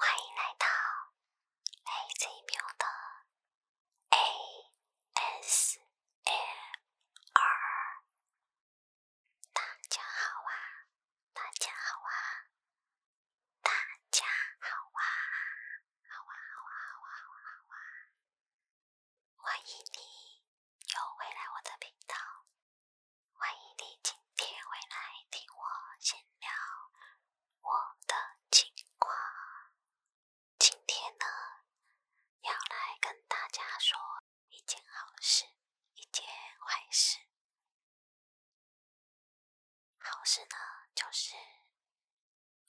欢迎来到 A Z 妹的 A S m R。大家好啊！大家好啊！大家好啊！好哇好哇好哇好哇好哇！欢迎你又回来我的频道，欢迎你今天回来听我先聊我的情况。今天呢，要来跟大家说一件好事，一件坏事。好事呢，就是。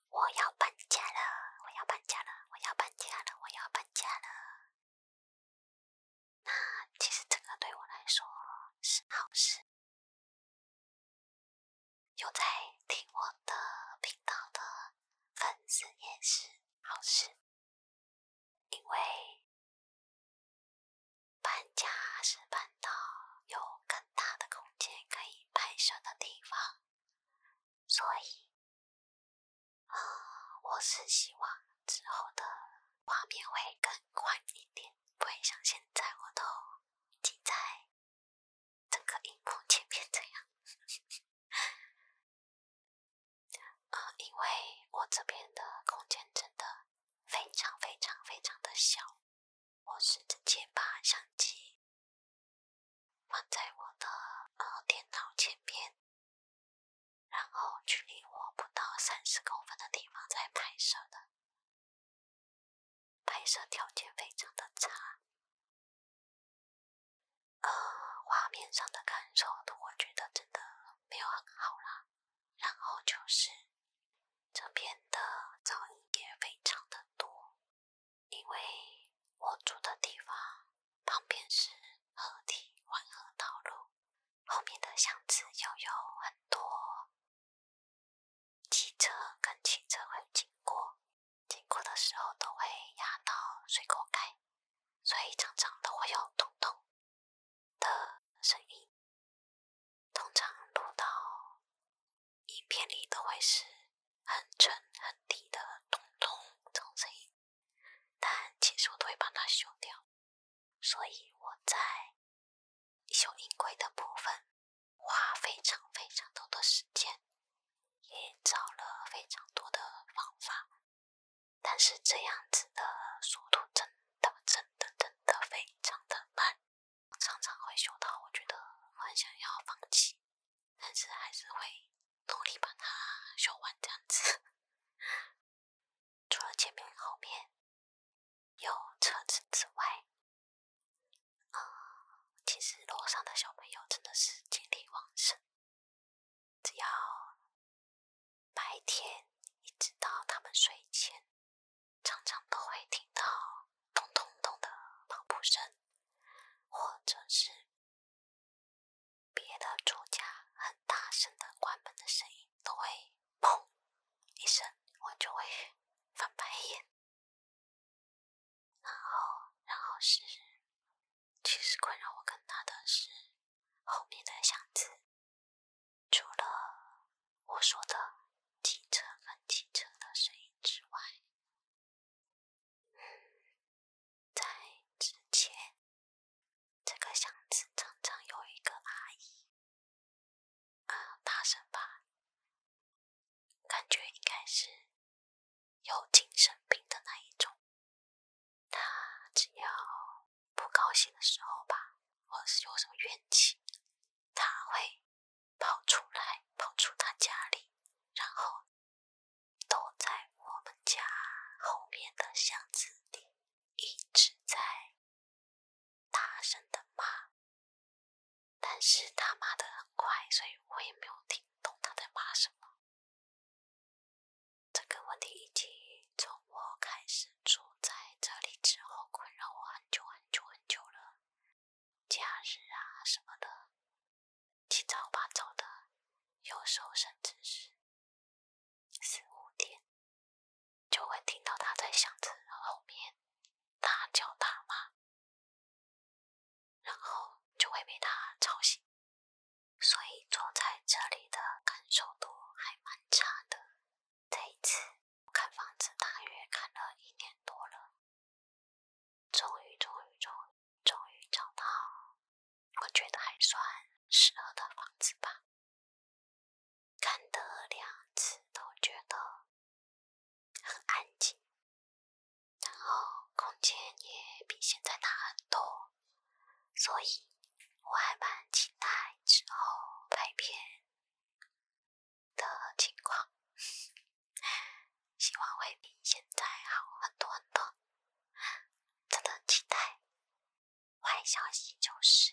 我要搬家了，我要搬家了，我要搬家了，我要搬家了。那其实这个对我来说是好事，有在听我的频道的粉丝也是好事，因为搬家是搬到有更大的空间可以拍摄的地方。所以，呃，我是希望之后的画面会更宽一点，不会像现在我都已经在整个荧幕前面这样。啊，因为我这边的空间真的非常非常非常的小。我是直接把相机放在我的呃电脑前面，然后距离我不到三十公分的地方在拍摄的，拍摄条件非常的差，呃，画面上的感受，我觉得真的没有很好啦。然后就是这边的噪音也非常的多。因为我住的地方旁边是河堤环河道路，后面的巷子又有很多汽车跟汽车会经过，经过的时候都会压到水口盖，所以常常都会有咚咚的声音，通常录到。影片里都会是很沉很低的咚咚咚声音，但其实我都会把它修掉，所以我在修音轨的部分花非常非常多的时间，也找了非常多的方法，但是这样子的速度真的真的真的非常的慢。常常会修到我觉得很想要放弃，但是还是会努力把它修完这样子。除了前面后面有车子之外，啊，其实楼上的小朋友真的是精力旺盛，只要白天一直到他们睡前。常常都会听到咚咚咚的跑步声，或者是别的主家很大声的关门的声音，都会砰一声，我就会翻白眼。然后，然后是其实困扰我更大的是后面的巷子，除了我说的汽车跟汽车的声音之外。在之前，这个巷子常常有一个阿姨，啊，大声吧，感觉应该是有精神病的那一种。她只要不高兴的时候吧，或者是有什么怨气，她会。跑出来，跑出他家里，然后躲在我们家后面的巷子里，一直在大声的骂。但是他骂的很快，所以我也没有听懂他在骂什么。这个问题已经从我开始住在这里之后，困扰我很久很久很久了。假日啊什么的，七早八早的，有时候甚至是四五点，就会听到他在箱子后面大叫大骂，然后就会被他吵醒，所以坐在这里的感受度还蛮差的。这一次。看房子大约看了一年多了，终于终于终于终于找到我觉得还算适合的房子吧。看的两次都觉得很安静，然后空间也比现在大很多，所以我还蛮期待之后拍片。的情况，希望会比现在好很多很多，真的很期待。坏消息就是，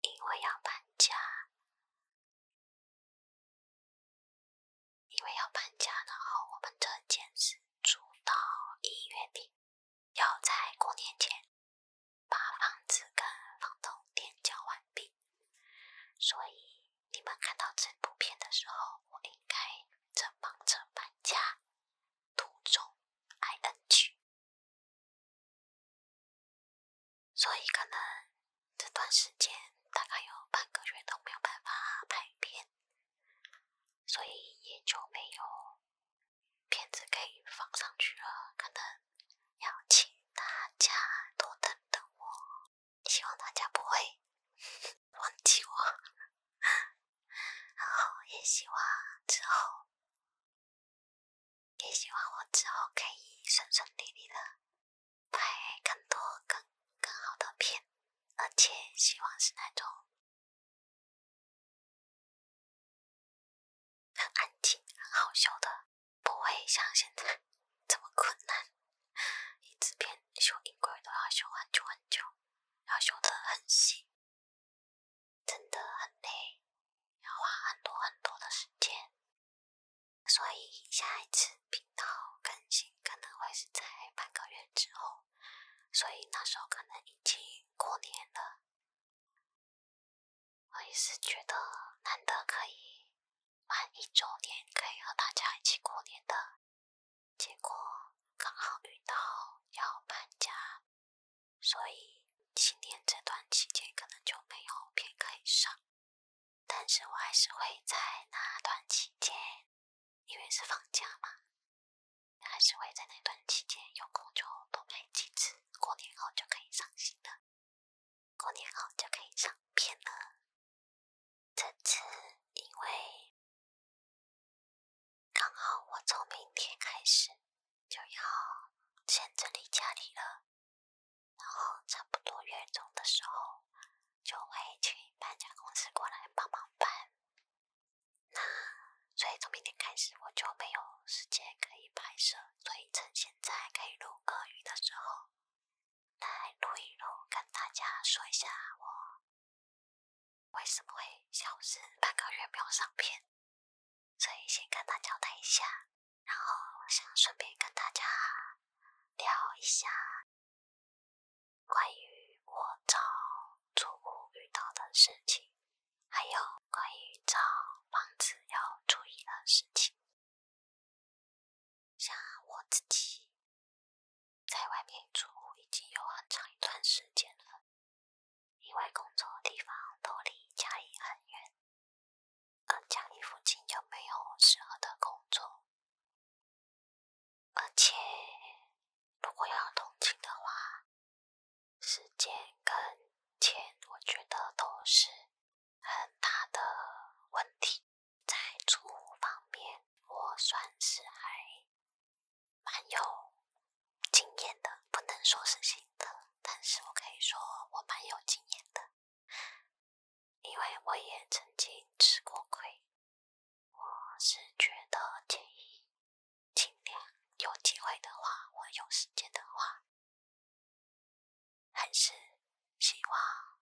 因为要搬家，因为要搬家，然后我们这件事住到一月底，要在过年前。把房子跟房东垫交完毕，所以你们看到这部片的时候，我应该正忙着搬家，途中 I N 去，所以可能这段时间大概有半个月都没有办法拍片，所以也就没有片子可以放上去了，可能。邀请大家多等等我，希望大家不会 忘记我，然后也希望之后，也希望我之后可以顺顺利利的拍更多更更好的片，而且希望是那种。很安静，很好笑的，不会像现在这么困难。一支笔修音轨都要修很久很久，要修得很细，真的很累，要花很多很多的时间。所以下一次频道更新可能会是在半个月之后，所以那时候可能已经过年了。我也是觉得难得可以满一周年，可以和大家一起过年的，结果刚好遇到要搬家，所以新年这段期间可能就没有可以上，但是我还是会在那段期间，因为是放假嘛，还是会在那段期间有空就多拍几次，过年后就可以上新的。过年后就可以上片了。这次因为刚好我从明天开始就要先整理家里了，然后差不多月中的时候就会请搬家公司过来帮忙搬。那所以从明天开始我就没有时间可以拍摄。所以趁现在可以录歌语的时候，来录一录，跟大家说一下我为什么会消失半个月没有上片，所以先跟大家交代一下。然后我想顺便跟大家聊一下关于我找租户遇到的事情，还有关于找房子要注意的事情。像我自己在外面住已经有很长一段时间了，因为工作的地方都离家里很远，而家里附近又没有适合的工作，而且如果要通勤的话，时间跟钱我觉得都是。很大的问题，在租方面，我算是还蛮有经验的，不能说是新的，但是我可以说我蛮有经验的，因为我也曾经吃过亏。我是觉得建议尽量有机会的话，或有时间的话。还是希望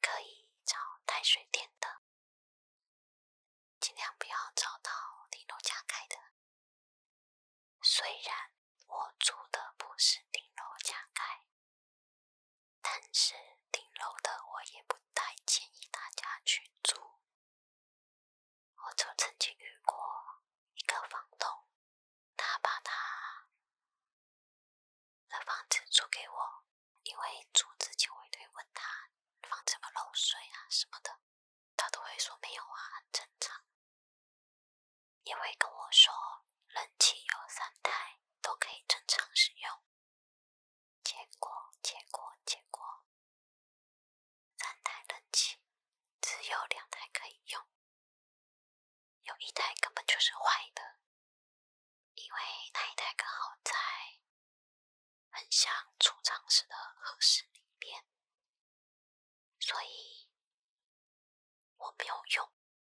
可以找泰水电的，尽量不要找到顶楼家开的。虽然我住的不是顶楼家开，但是顶楼的我也不太建议大家去住。我就曾经遇过一个房东，他把他的房子租给我，因为租子就会对问他房子不漏水啊什么的，他都会说没有啊，很正常。也会跟我说冷气有三台，都可以正常使用。结果，结果，结果。三台冷气，只有两台可以用，有一台根本就是坏的，因为那一台刚好在很像储藏室的合室里面，所以我没有用，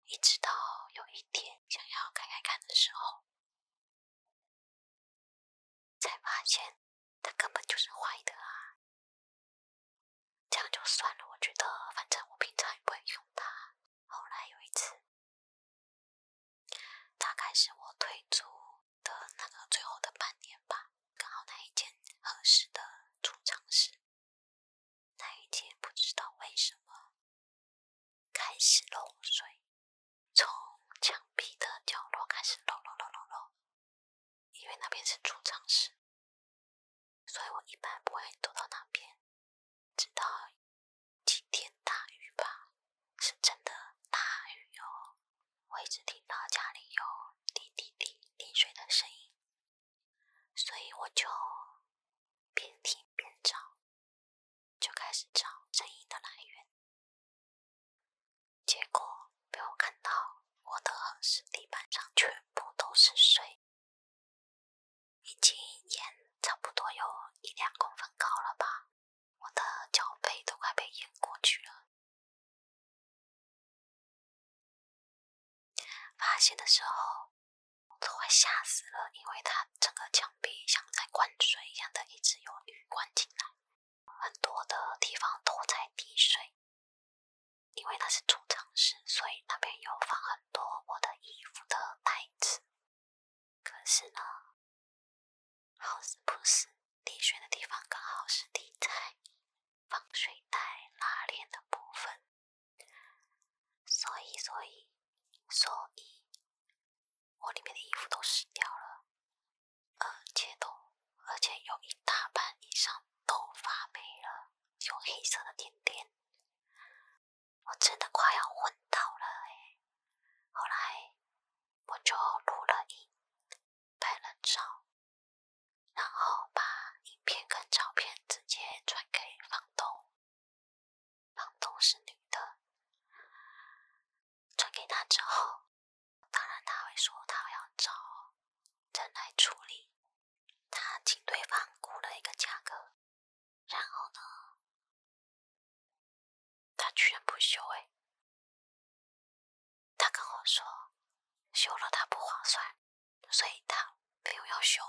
一直到有一天想要开开看的时候，才发现。它根本就是坏的啊！这样就算了，我觉得反正我平常也不会用它。后来有一次，大概是我退租的那个最后的半年吧，刚好那一间合适的储藏室，那一间不知道为什么开始漏水，从墙壁的角落开始漏漏漏漏漏。因为那边是储藏室，所以我一般不会躲到那边。直到今天大雨吧，是真的大雨哟。我一直听到家里有滴滴滴滴水的声音，所以我就边听边找，就开始找声音的来源。结果……被我看到，我的是地板上全部都是水，已经淹差不多有一两公分高了吧？我的脚背都快被淹过去了。发现的时候都快吓死了，因为它整个墙壁像在灌水一样的一直有雨灌进来，很多的地方都在滴水。因为那是储藏室，所以那边有放很多我的衣服的袋子。可是呢，好死不死，滴水的地方刚好是滴在防水袋拉链的部分，所以，所以，所以，我里面的衣服都湿掉了，而且都。而且有一大半以上都发霉了，有黑色的点点，我真的快要昏倒了哎！后来我就录了影，拍了照，然后把影片跟照片直接传给房东，房东是女的，传给她之后。当然，他会说他要找人来处理。他请对方估了一个价格，然后呢，他居然不修哎！他跟我说修了他不划算，所以他没有要修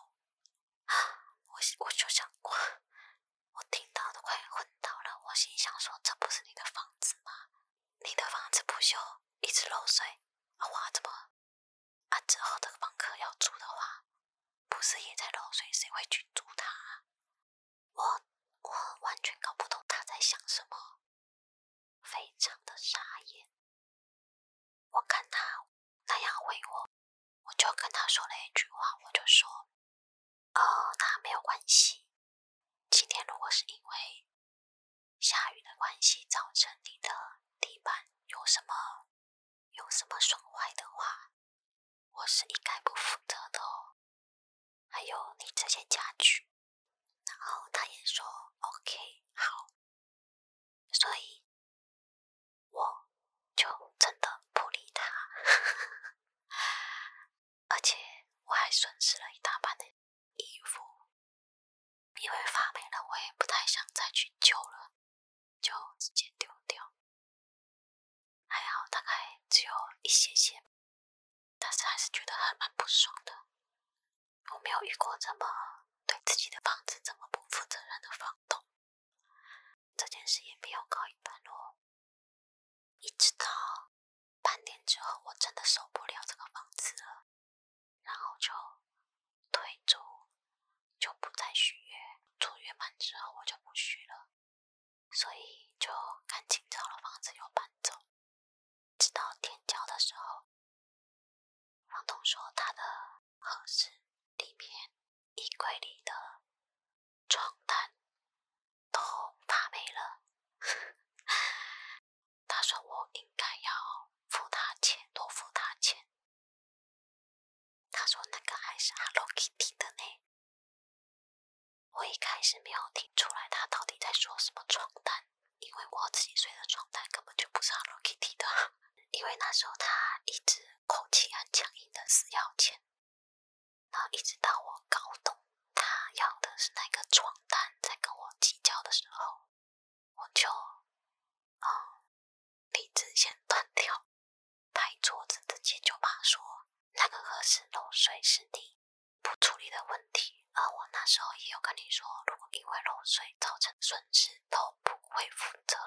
啊！我我就想，我听到都快昏倒了。我心想说，这不是你的房子吗？你的房子不修，一直漏水。啊，华，怎么？啊，之后的房客要租的话，不是也在漏水，谁会去租他？我我完全搞不懂他在想什么，非常的傻眼。我看他那样回我，我就跟他说了一句话，我就说，哦，那没有关系。今天如果是因为下雨的关系造成你的地板有什么有什么损坏的话，我是应该不负责的哦。还有你这些家具，然后他也说 OK 好，所以我就真的不理他，而且我还损失了一大半的衣服因为发霉了，我也不太想再去救了，就直接丢掉。还好大概只有一些些，但是还是觉得还蛮不爽的。我没有遇过这么对自己的房子这么不负责任的房东，这件事也没有告一段落，一直到。半年之后，我真的受不了这个房子了，然后就退租，就不再续约。租约满之后，我就不续了，所以就赶紧找了房子又搬走。直到天交的时候，房东说他的卧室里面衣柜里的床单都发霉了。他说我应该要付他钱，多付他钱。他说那个还是 Hello Kitty 的呢。我一开始没有听出来他到底在说什么床单，因为我自己睡的床单根本就不是 Hello Kitty 的。因为那时候他一直口气很强硬的死要钱，然后一直到我搞懂。他要的是那个床单，在跟我计较的时候，我就嗯，理智先断掉，拍桌子，直接就骂说：“那个卧室漏水是你不处理的问题。”而我那时候也有跟你说，如果因为漏水造成损失，都不会负责。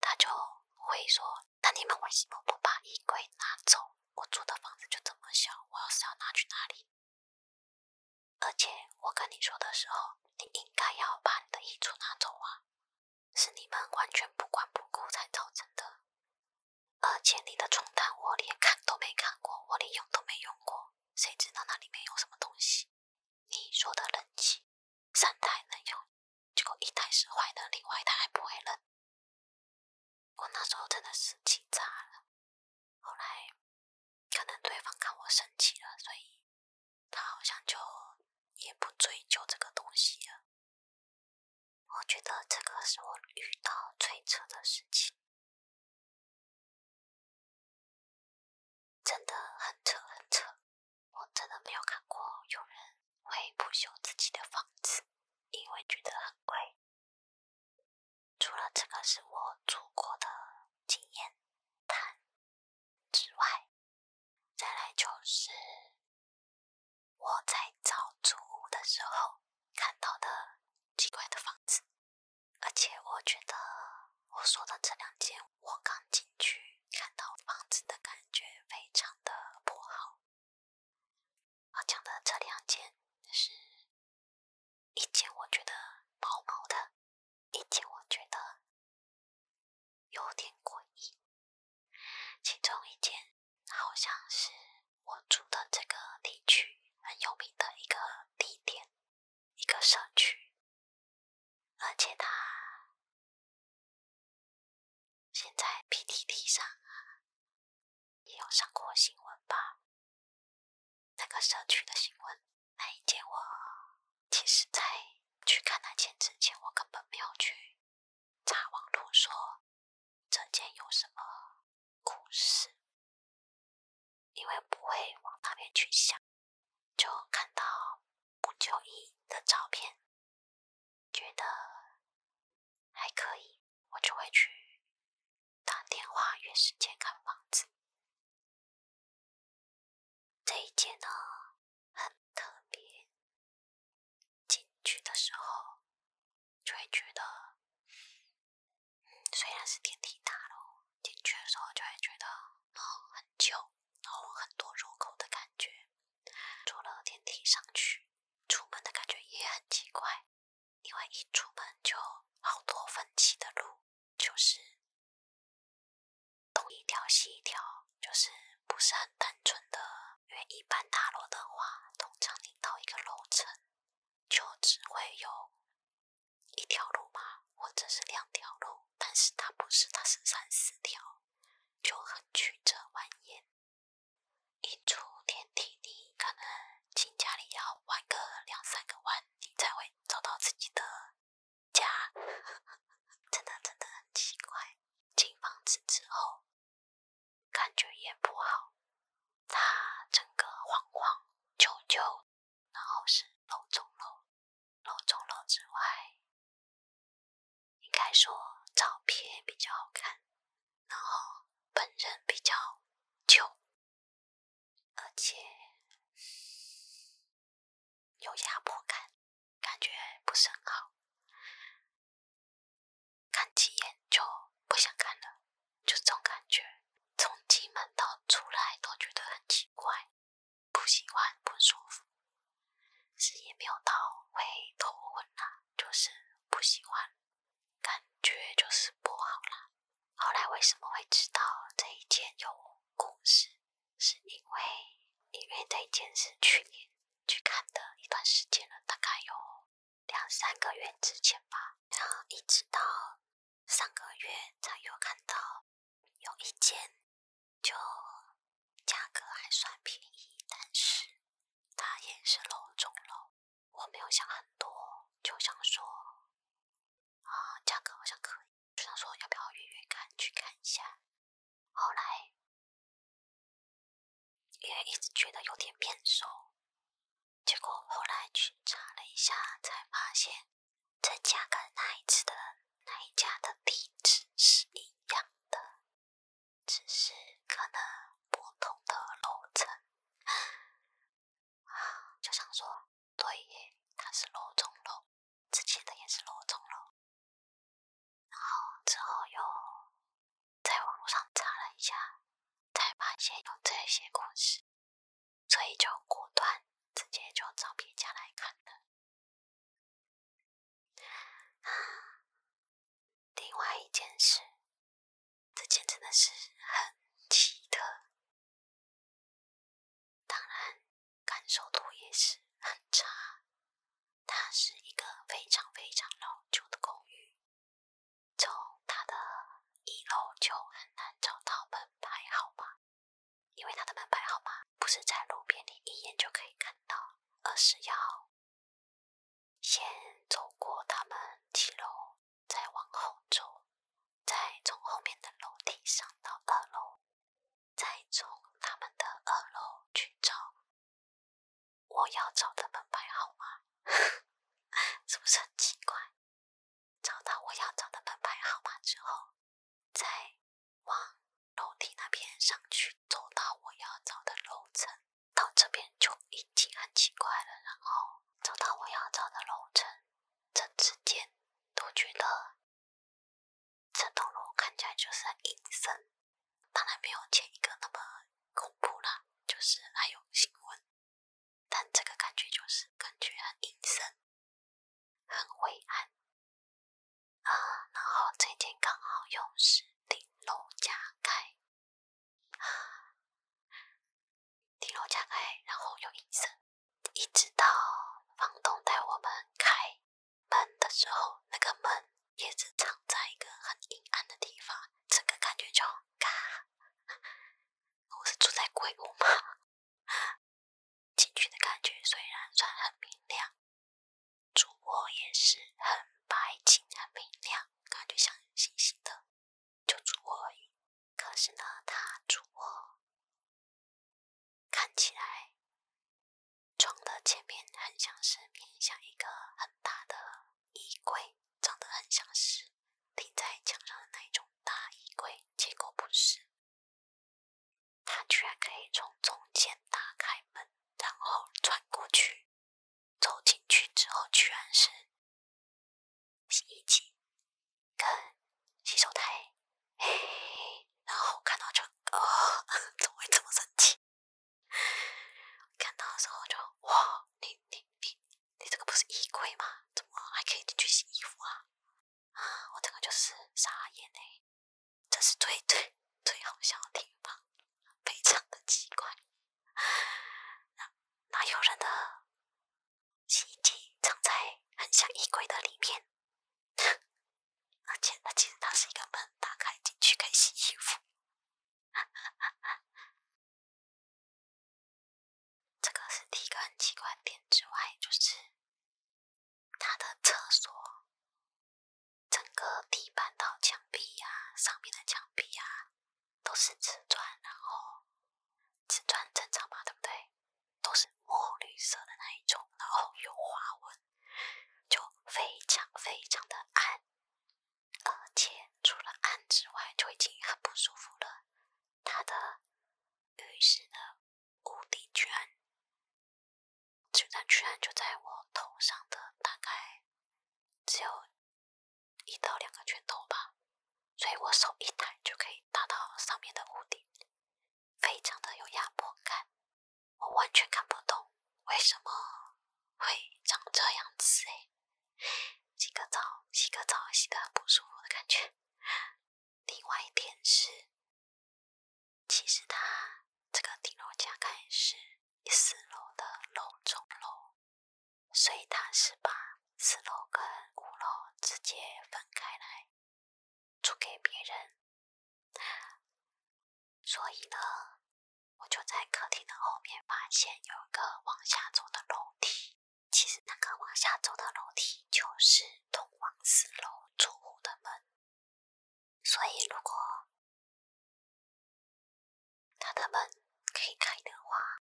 他就会说：“那你们为什么不把衣柜拿走？我住的房子就这么小，我要是要拿去哪里？”而且我跟你说的时候，你应该要把你的衣橱拿走啊！是你们完全不管不顾才造成的。而且你的床单我连看都没看过，我连用都没用过，谁知道那里面有什么东西？你说的冷气，三台能用，结果一台是坏的，另外一台还不会冷。我那时候真的是气炸了，后来可能对方看我生气了，所以他好像就也不追究这个东西了。我觉得这个是我遇到最扯的事情，真的很扯很扯。我真的没有看过有人会不修自己的房子，因为觉得很贵。除了这个是我住过的经验谈之外，再来就是我在找租屋的时候看到的奇怪的房子，而且我觉得我说的这两间，我刚进去看到房子的感觉非常的不好。我讲的这两件，是一件我觉得毛毛的，一件我觉得有点诡异。其中一件好像是我住的这个地区很有名的一个地点，一个社区，而且它现在 p t t 上。也有上过新闻吧，那个社区的新闻。那一件我其实在去看那件之前，我根本没有去查网络说这件有什么故事，因为不会往那边去想，就看到不久一的照片，觉得还可以。我就会去打电话约时间看房子。这一间呢很特别，进去的时候就会觉得，虽然是电梯大楼，进去的时候就会觉得，然很旧，然后很多入口的感觉。坐了电梯上去，出门的感觉也很奇怪。因为一出门就好多分歧的路，就是东一条西一条，就是不是很单纯的。因为一般大楼的话，通常你到一个楼层就只会有一条路嘛，或者是两条路，但是它不是，它是三四条，就很曲折蜿蜒。一出电梯，你可能进家里要弯个两三个弯，你才会找到自己的家。真的真的很奇怪。进房子之后，感觉也不好，它整个晃晃，求求，然后是楼中楼，楼中楼之外，应该说照片比较好看，然后本人比较旧。而且有压迫感，感觉不是很好。看几眼就不想看了，就这种感觉。从进门到出来都觉得很奇怪，不喜欢，不舒服。事也没有到，会头昏啦，就是不喜欢，感觉就是不好啦。后来为什么会知道这一间有故事？是因为因为这一间是去年去看的一段时间了，大概有两三个月之前吧。然后一直到上个月才有看到有一间，就价格还算便宜，但是它也是楼中楼，我没有想很多，就想说，啊，价格好像可以，就想说要不要预约看去看一下。后来因为一直觉得有点变熟，结果后来去查了一下，才发现这家跟那一次的那一家的地址是一样的，只是可能不同的楼层。就想说，对耶，他是罗中乐，之前的也是罗中乐，然后之后又在网上查了一下，才发现有这些故事，所以就果断直接就找别家来看的。另外一件事，这件真的是很奇特，当然感受度也是很差。它是一个非常非常老旧的公寓，从它的一楼就很难找到门牌号码，因为它的门牌号码不是在路边你一眼就可以看到，而是要。先走过他们七楼，再往后走，再从后面的楼梯上到二楼，再从他们的二楼去找我要找的门牌号码，是不是很奇怪？找到我要找的门牌号码之后，再往楼梯那边上去，走到我要找的楼层。到这边就已经很奇怪了，然后走到我要找的楼层，这之间都觉得这栋楼看起来就是很阴森，当然没有前一个那么恐怖啦，就是还有新闻，但这个感觉就是感觉很阴森、很灰暗啊。然后这间刚好又是顶楼加盖。顶 楼加盖，然后有隐身，一直到房东带我们开门的时候，那个门也是藏在一个很阴暗的地方，整个感觉就，我是住在鬼屋吗？进去的感觉虽然算很明亮，主卧也是很白净、很明亮，感觉像星星的。就主卧，可是呢，它主卧看起来床的前面很像是面向一个很大的衣柜，长得很像是钉在墙上的那一种大衣柜，结果不是，它居然可以从中间打开门，然后穿过去。走进去之后，居然是洗衣机跟洗手台，然后看到就啊，怎么会这么神奇？看到的时候就哇，你你你，你这个不是衣柜吗？怎么还可以进去洗衣服啊？啊，我这个就是傻眼呢。这是最最最好笑的地方，非常的奇怪。那有人的洗衣机藏在很像衣柜的里面？而且它其实它是一个门，打开进去可以洗衣服。这个是第一个很奇怪点之外，就是它的厕所整个地板到墙壁呀，上面的墙壁呀。都是瓷砖，然后瓷砖正常嘛，对不对？都是墨绿色的那一种，然后有花纹，就非常非常的暗，而且除了暗之外，就已经很不舒服了。它的浴室的屋顶居然，居然居然就在我头上的，大概只有一到两个拳头吧，所以我手一抬就可以打到上面的屋顶，非常的有压迫感。我完全看不懂为什么会长这样子哎！洗个澡，洗个澡，洗的不舒服的感觉。另外一点是，其实它这个顶楼加盖是四楼的楼中楼。所以他是把四楼跟五楼直接分开来租给别人，所以呢，我就在客厅的后面发现有一个往下走的楼梯。其实那个往下走的楼梯就是通往四楼住户的门，所以如果他的门可以开的话，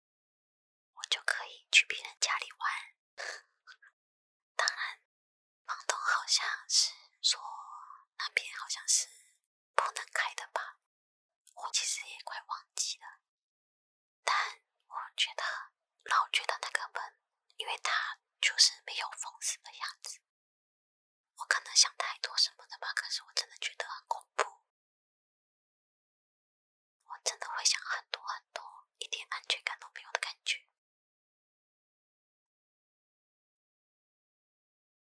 我就可以去别人家里玩。当然，房东好像是说那边好像是不能开的吧？我其实也快忘记了。但我觉得，老觉得那个门，因为它就是没有封死的样子，我可能想太多什么的吧。可是我真的觉得很恐怖。我真的会想很多很多，一点安全感都没有的感觉。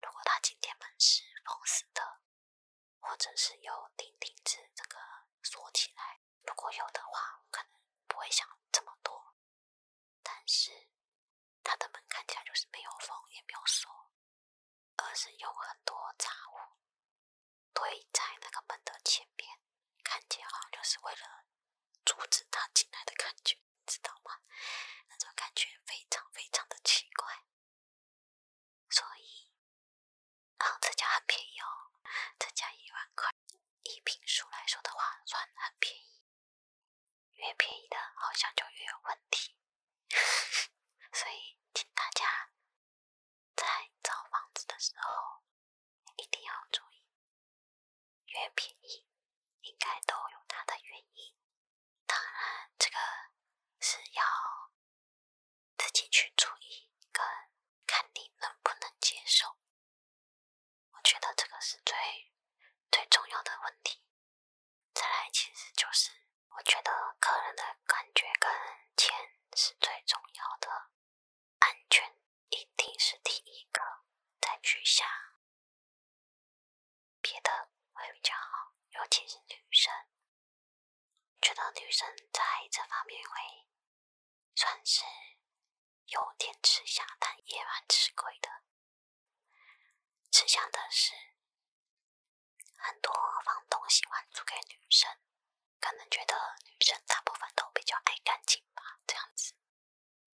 如果他今天门是封死的，或者是有钉钉子这个锁起来，如果有的话，可能不会想这么多。但是他的门看起来就是没有封，也没有锁。而是有很多杂物堆在那个门的前面，看起来好像就是为了阻止他进来的感觉，你知道吗？那种感觉非常非常的奇怪。所以，啊，这家很便宜哦，这家一万块，以平数来说的话，算很便宜。越便宜的，好像就越有问题。所以，请大家在找房子的时候，一定要注意，越便宜应该都有它的原因。当然，这个是要自己去注意，跟看你能不能接受。我觉得这个是最最重要的问题。再来其实就是，我觉得个人的感觉跟钱是最重要的，安全一定是第一个，再去想别的会比较好。尤其是女生，觉得女生在这方面会算是有点吃香，但也蛮吃亏的。吃香的是。很多房东喜欢租给女生，可能觉得女生大部分都比较爱干净吧，这样子。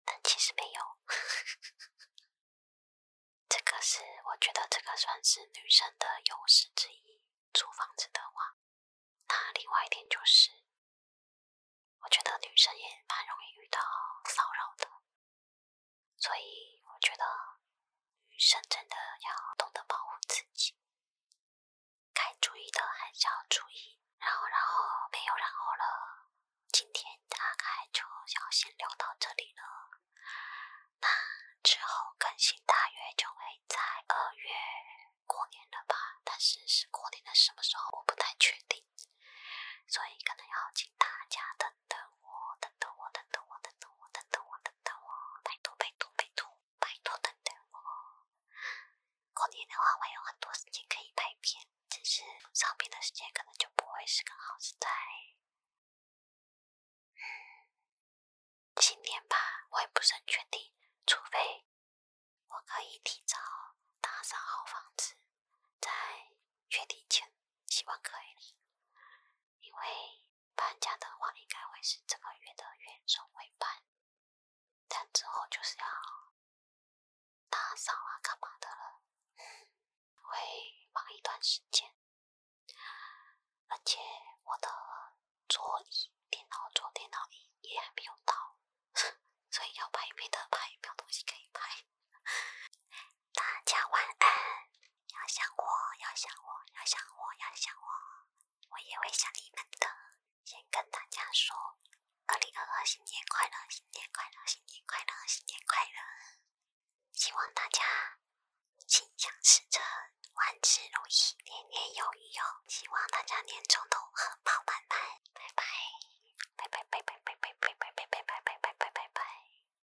但其实没有，这个是我觉得这个算是女生的优势之一。租房子的话，那另外一点就是，我觉得女生也蛮容易遇到骚扰的。所以我觉得女生真的要懂得保护自己，该注意的还是要注意。然后，然后没有然后了。今天大概就要先聊到这里了。那之后更新大约就会在二月过年了吧？但是是过年的什么时候，我不太确定，所以可能要请大家的。等我，等我，等我，等我，等我，等我，拜托拜托拜托拜托等我！过年的话会有很多时间可以拍片，只是上班的时间可能就不会是个好时代。嗯，年吧，我也不很确定，除非我可以提早打扫好房子，在月底前，希望可以。因为搬家的话，应该会是这个月的月中会搬，但之后就是要打扫啊、干嘛的了，会忙一段时间。而且我的桌椅、电脑桌、电脑椅也还没有到，所以要拍没得拍，没有东西可以拍。大家晚安，要想我，要想我，要想我，要想我，我也会想你们的。先跟大家说，二零二二新年快乐，新年快乐，新年快乐，新年快乐！希望大家心想事成，万事如意，年年有余哟！希望大家年终都荷包满满。拜拜，拜拜拜拜拜拜拜拜拜拜拜拜拜拜拜。